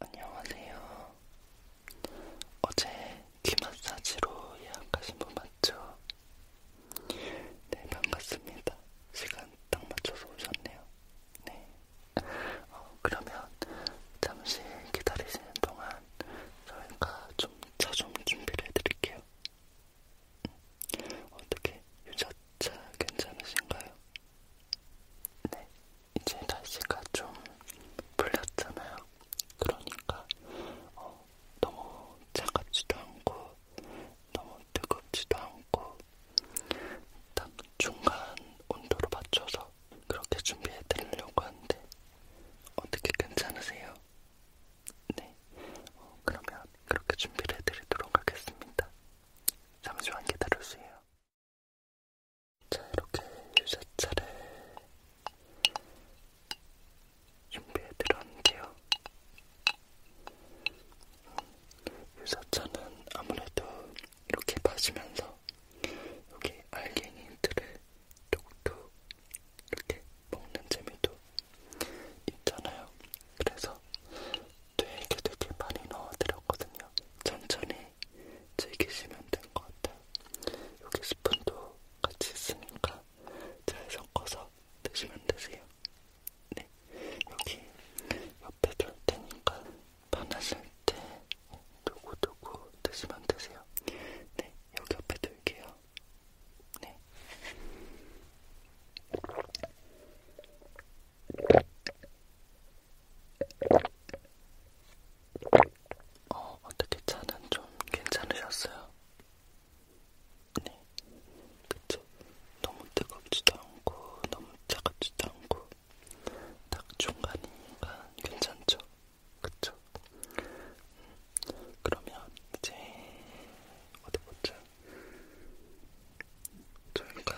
안녕하세요. 어제 귀 마사지로 예약하신 분 맞죠? 네, 반갑습니다. 시간 딱 맞춰서 오셨네요. 네. 어, 그러면 잠시 기다리시는 동안 저희가 좀 차좀 좀 준비를 해드릴게요. 어떻게 유자차 괜찮으신가요? 네, 이제 날씨가 좀 풀렸잖아요. 그러니까 어, 너무 차갑지도 않고 너무 뜨겁지도 않고 딱 중간 온도로 맞춰서 그렇게 준비해 드리려고 하는데 어떻게 괜찮으세요? 네, 어, 그러면 그렇게 준비를 해드리도록 하겠습니다. 잠시만 기다려주세요. 자, 이렇게 유자차를 준비해드렸는데요. 유자차는 아무래도 이렇게 마시면서 여기 알갱이 힌트를 톡톡 이렇게 먹는 재미도 있잖아요. 그래서 되게 되게 많이 넣어드렸거든요. 천천히 즐기시면 된것 같아요. 여기 스푼도 같이 있으니까 잘 섞어서 드시면 되세요. 네, 여기 옆에 둘 테니까 편하실 때 두고두고 드시면 되세요. 네, 여기 옆에 둘게요. 네. 어, 어떻게 차는 좀 괜찮으셨어요? 네, 그쵸. 너무 뜨겁지도 않고, 너무 차갑지도 않고, 딱 중간이니까 괜찮죠? 그쵸? 음, 그러면 이제 어디 보자. 저희가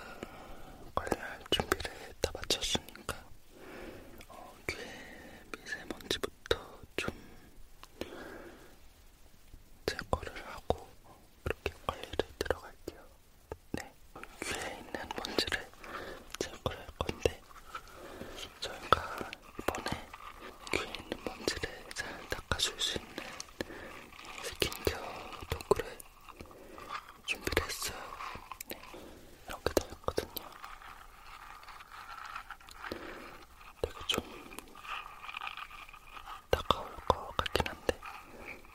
관리할 준비를 다 마쳤으니까 어, 귀에 미세먼지부터 좀 제거를 하고 그렇게 관리를 들어갈게요. 네, 귀에 있는 먼지를 제거를 할 건데 저희가 이번에 귀에 있는 먼지를 잘 닦아줄 수 있는 스킨케어 도구를 준비를 했어요. 네. 이렇게 되었거든요. 되게 좀 따가울 것 같긴 한데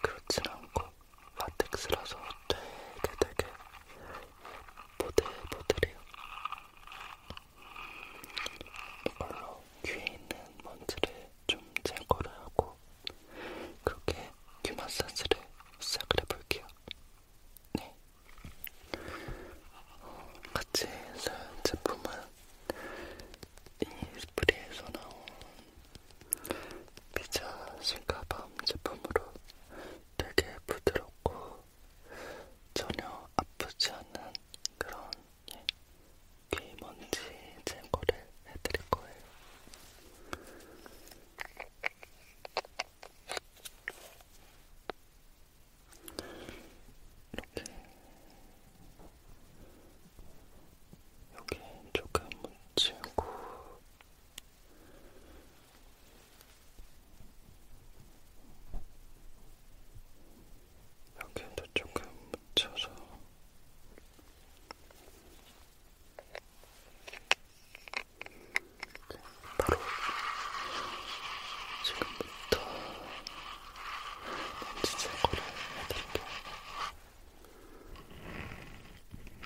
그렇진 않고 라텍스라서 되게 되게 보들보들해요. 이걸로 귀에 있는 먼지를 좀 제거를 하고 그렇게 귀 마사지를 시작을 해볼게요. 네. 어, 같이 사용 제품은 이스프리에서 나온 피자 실가밤 제품으로 되게 부드럽고 전혀 아프지 않은 그런 귀 네, 먼지 제거를 해드릴 거예요. 이렇게 여기 조금 묻히고 여기도 조금 묻혀서 바로 지금부터 먼지 제거를 해드릴게요. 네,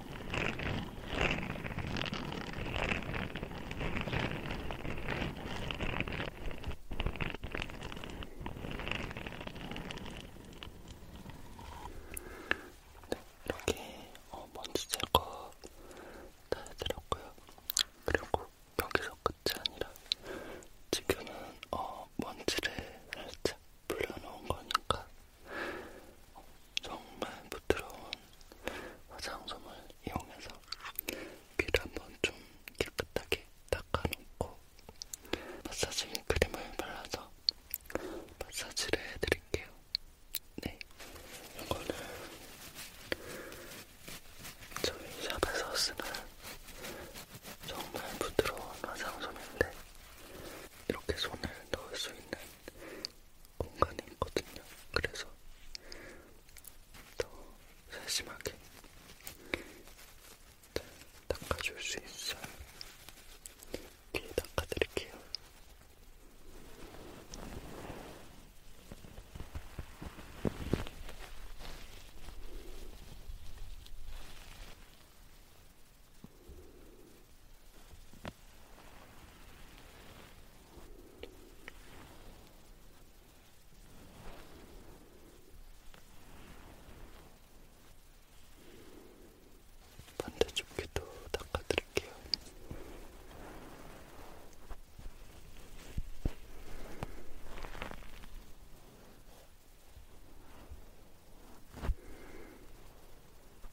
네, 이렇게 어, 먼지 제거 다 해드렸고요. 그리고 여기서 끝이 아니라 지금은 어, 먼지를 살짝 불려놓은 거니까 정말 부드러운 화장솜을 이용해서 귀를 한번 좀 깨끗하게 닦아놓고 마사지 크림을 발라서 마사지를 해드릴게요. 네, 이거는 저희 샵에서 쓰는 정말 부드러운 화장솜인데 이렇게 손을 넣을 수 있는 공간이 있거든요. 그래서 더 세심하게 잘 닦아줄 수 있어요. 뒤에 닦아드릴게요. 반대쪽 귀도 닦아드릴게요.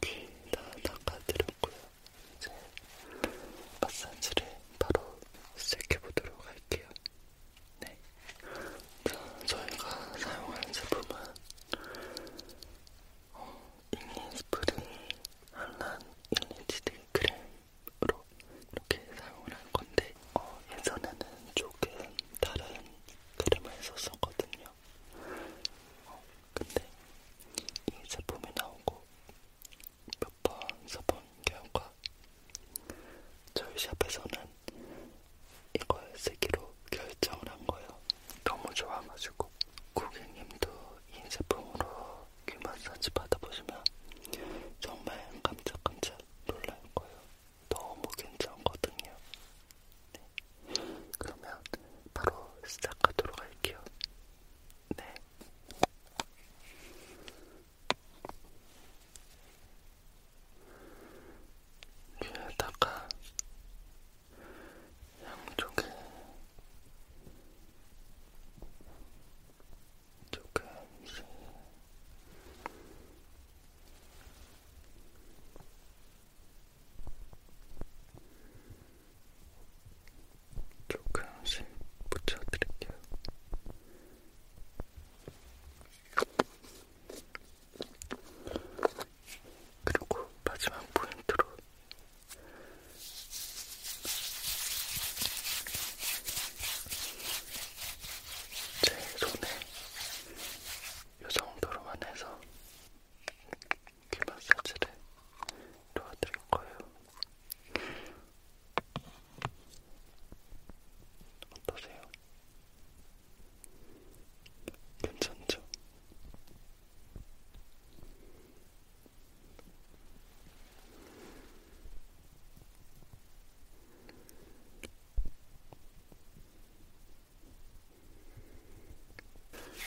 귀다 닦아드렸고요. 이제 마사지를 바로 시작해보도록 할게요. 네. 자, 저희가 사용하는 제품은 어, 일리스프링 한란 일리티드 크림으로 식으로 이렇게 사용을 할 건데 어, 예전에는 조금 다른 크림을 썼었거든요. 어, 근데 이 제품이 나오고 몇 번 써본 결과 저희 샵에서는 이걸 쓰기로 결정을 한 거예요. 너무 좋아가지고 고객님도 이 제품으로 귀 마사지 받아보시면 정말 깜짝깜짝 놀랄 거예요. 너무 괜찮거든요. 네. 그러면 바로 시작하도록 할게요. 네. 위에다가 양쪽에 조금씩 조금씩 붙여드릴게요. 그리고 마지막 포인트로 제 손에 이 정도로만 해서 귀 마사지를 도와드릴 거예요. 어떠세요? 괜찮죠?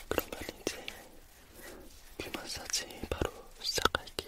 그러면 이제 귀 마사지 바로 시작할게요.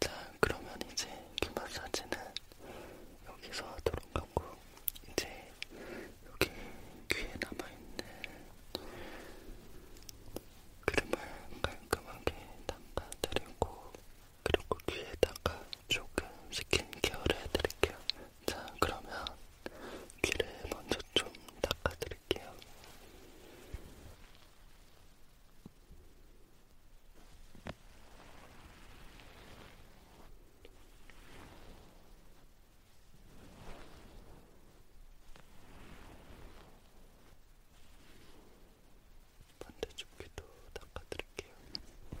자, 그러면 이제 귀 마사지는 여기서 하도록 하고, 이제 여기 귀에 남아있는 크림을 깔끔하게 닦아드리고 그리고 귀에다가 조금 스킨케어를 해드릴게요. 자, 그러면 귀를 먼저 좀 닦아드릴게요. 반대쪽 귀도 닦아드릴게요. 네,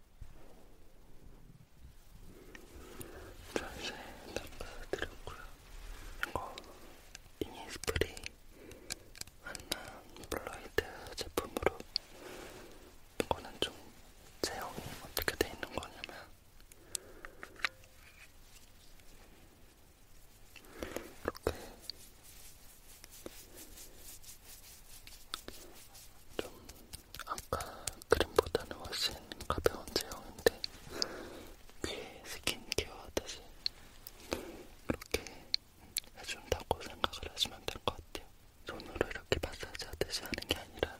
전세 다 보여드렸고요. 이거 이니스프리 한남 블러이드 제품으로 이거는 좀 제형이 어떻게 돼 있는 거냐면 이렇게 좀 아까 그림보다는 훨씬 가벼운 제형인데 귀에 스킨케어 하듯이 이렇게 해준다고 생각을 하시면 될 것 같아요. 손으로 이렇게 마사지 하듯이 하는 게 아니라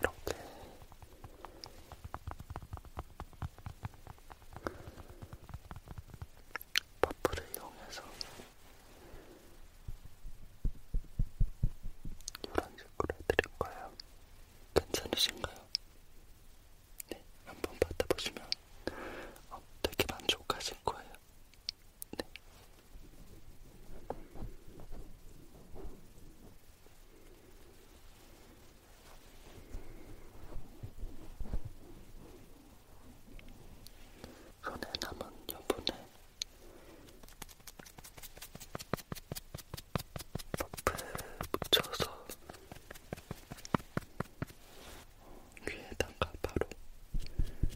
이렇게 퍼프를 이용해서 이런 식으로 해드릴 거예요. 괜찮으신가요? 네, 한번 받아보시면 어, 되게 만족하실 거예요. 네. 네, 손에 남은 여분을 퍼프에 묻혀서 귀에다가 바로 음.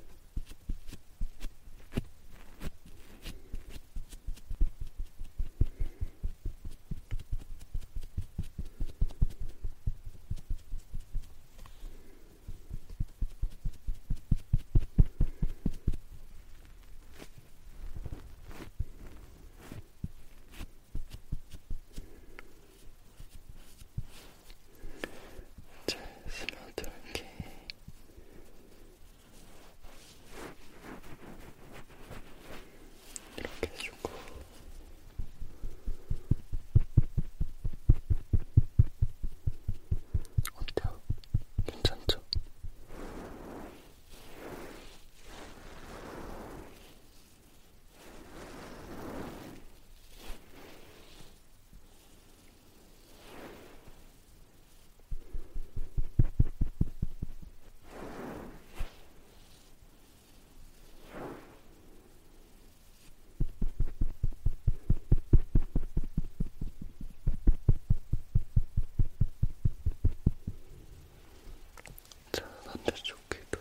잘 쓸어둘게. 이렇게 해주고. 어때요? 괜찮죠? 자, 반대쪽 귀도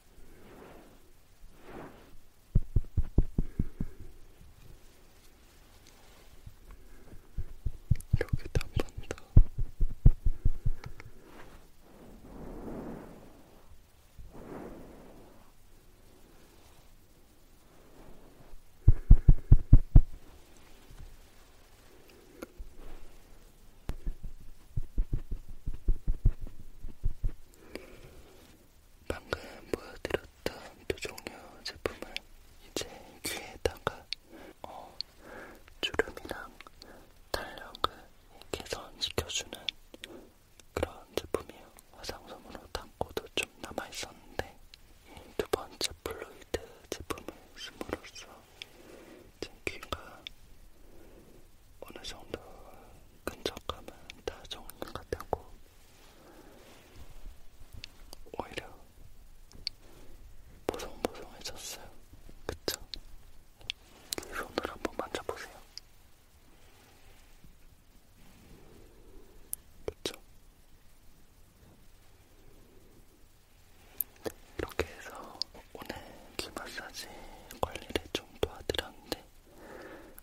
여기다 한번더 방금 보여드렸던 두 종류 제품을 이제 귀에다가 어, 주름이랑 탄력을 개선시켜주는 그런 제품이에요. 화장솜으로 담고도 좀 남아있었는데 두 번째 플루이드 제품을 쓰므로써 제 귀가 어느 정도 끈적하면 다 정리가 되고 오히려 보송보송해졌어요. 그쵸? 손으로 한번 만져보세요. 그쵸? 네, 이렇게 해서 오늘 귀 마사지 관리를 좀 도와드렸는데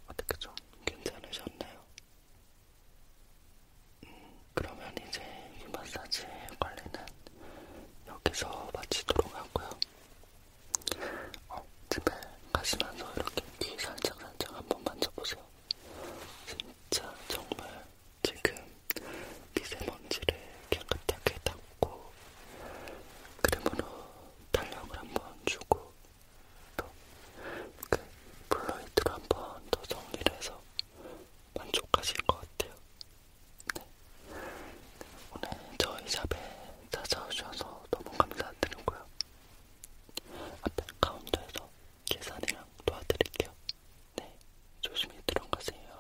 어떻게 좀 괜찮으셨나요? 음, 그러면 이제 귀 마사지 관리는 여기서 마치도록 하고요. 어, 집에 가시면서 이렇게 귀 살짝 살짝 한번 만져보세요. 진짜 정말 지금 미세먼지를 깨끗하게 닦고 먹고 크림으로 탄력을 한번 주고 또 이렇게 그 블루이트로 한번더 정리를 해서 만족하실 것 같아요. 네. 오늘 저희 샵에 찾아오셔서 너무 감사드리고요. 앞에 카운터에서 계산이랑 도와드릴게요. 네, 조심히 들어가세요.